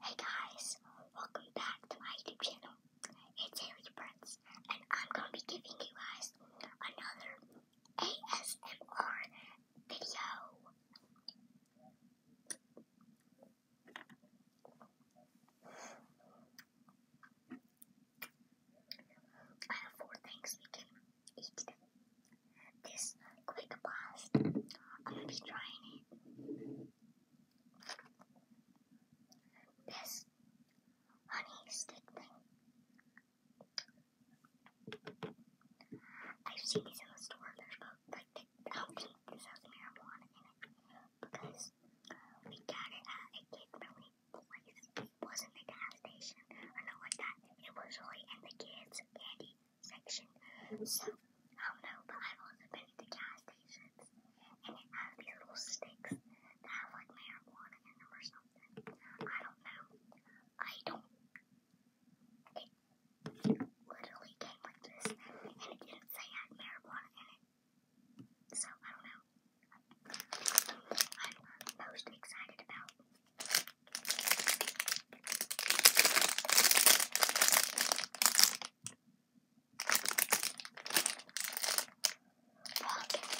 Hey guys, welcome back to my YouTube channel. It's Harry Prince, and I'm gonna be giving you guys another ASMR video. I have four things we can eat today this quick blast. I'm gonna be trying it. This honey stick thing. I've seen these in the store. There's like the outfit. This has marijuana in it because we got it at a kid friendly place. It wasn't a gas station or not like that. It was really in the kids' candy section. So, um, no, but I've also been at gas stations, and it has these little sticks that have like marijuana in them or something. I don't know. I don't. It literally came like this, and it didn't say had marijuana in it. So, I don't know. I'm most excited about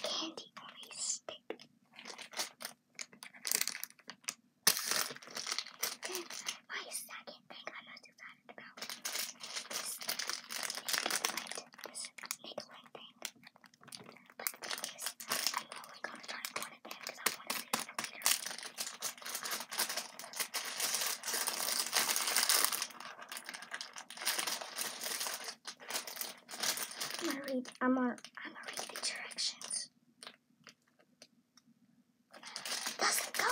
candy on stick. Then my second thing I'm most excited about is this Nicolette thing. But the thing is, I'm only to try it because I want to do it later. I'm gonna read. I'm gonna, I'm gonna read the directions. Doesn't go.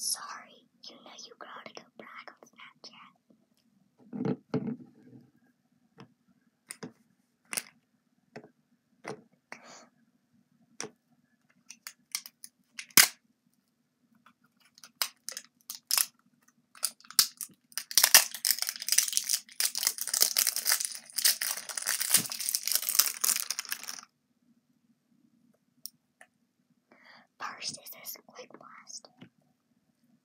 Sorry, you know you grow to go brag on Snapchat. First is this quick blast.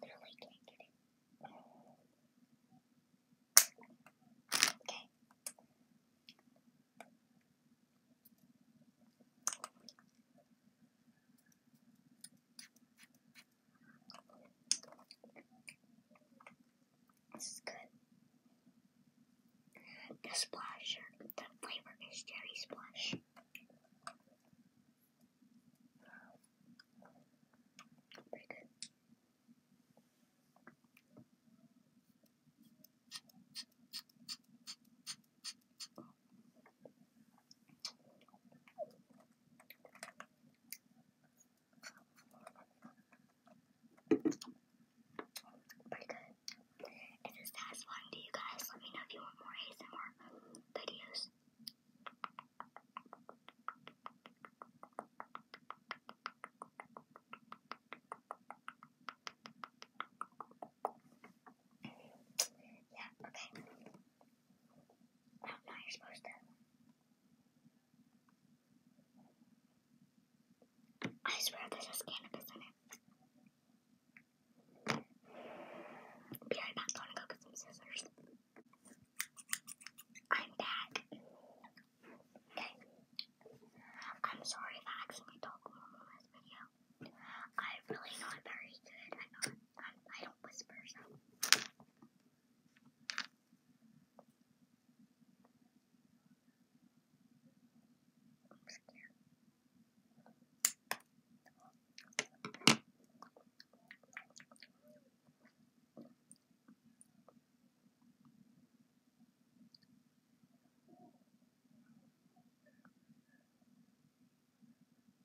Literally can't get it. Okay. This is good. The splash, the flavor is cherry splash. Pretty good. Pretty good. Is this satisfying to you guys? Let me know if you want more ASMR videos. Yeah, okay. What am I supposed to? I swear there's cannabis in it. Be right back. Gonna go get some scissors. I'm back. Okay. I'm sorry if I accidentally talked in this video. I'm really not very good I, I don't whisper, so. I'm scared.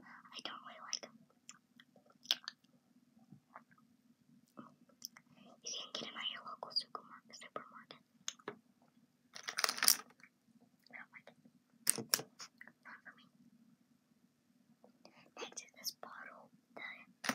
I don't really like them. You can get them at your local supermarket. not for me. Next is this bottle, the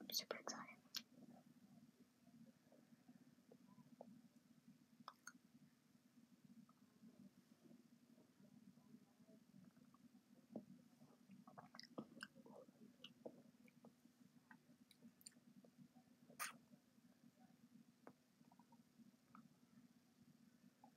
I'm super excited.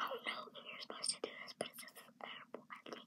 Oh no, you're supposed to do this, but it's just terrible, I think.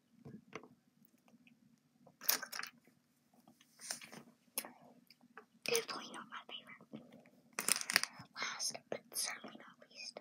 Definitely not my favorite. Last, but certainly not least.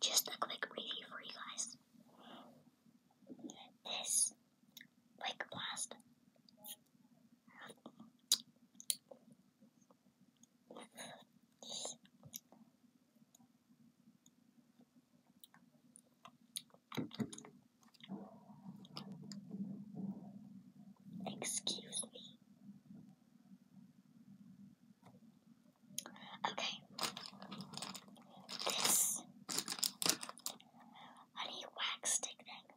Just a quick review for you guys. This like blast. Excuse me. Okay. This honey wax stick thing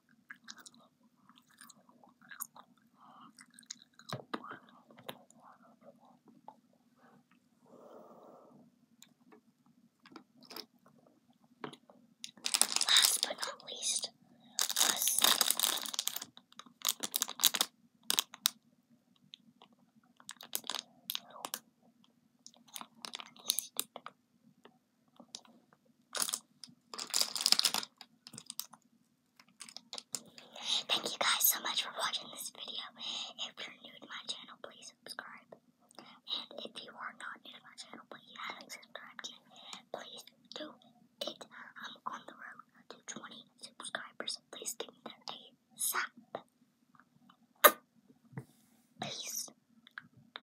Last but not least was Thank you guys so much for watching this video. If you're new to my channel, please subscribe. And if you are not new to my channel, but you haven't subscribed yet, please do it. I'm on the road to 20 subscribers. Please give me that ASAP. Peace.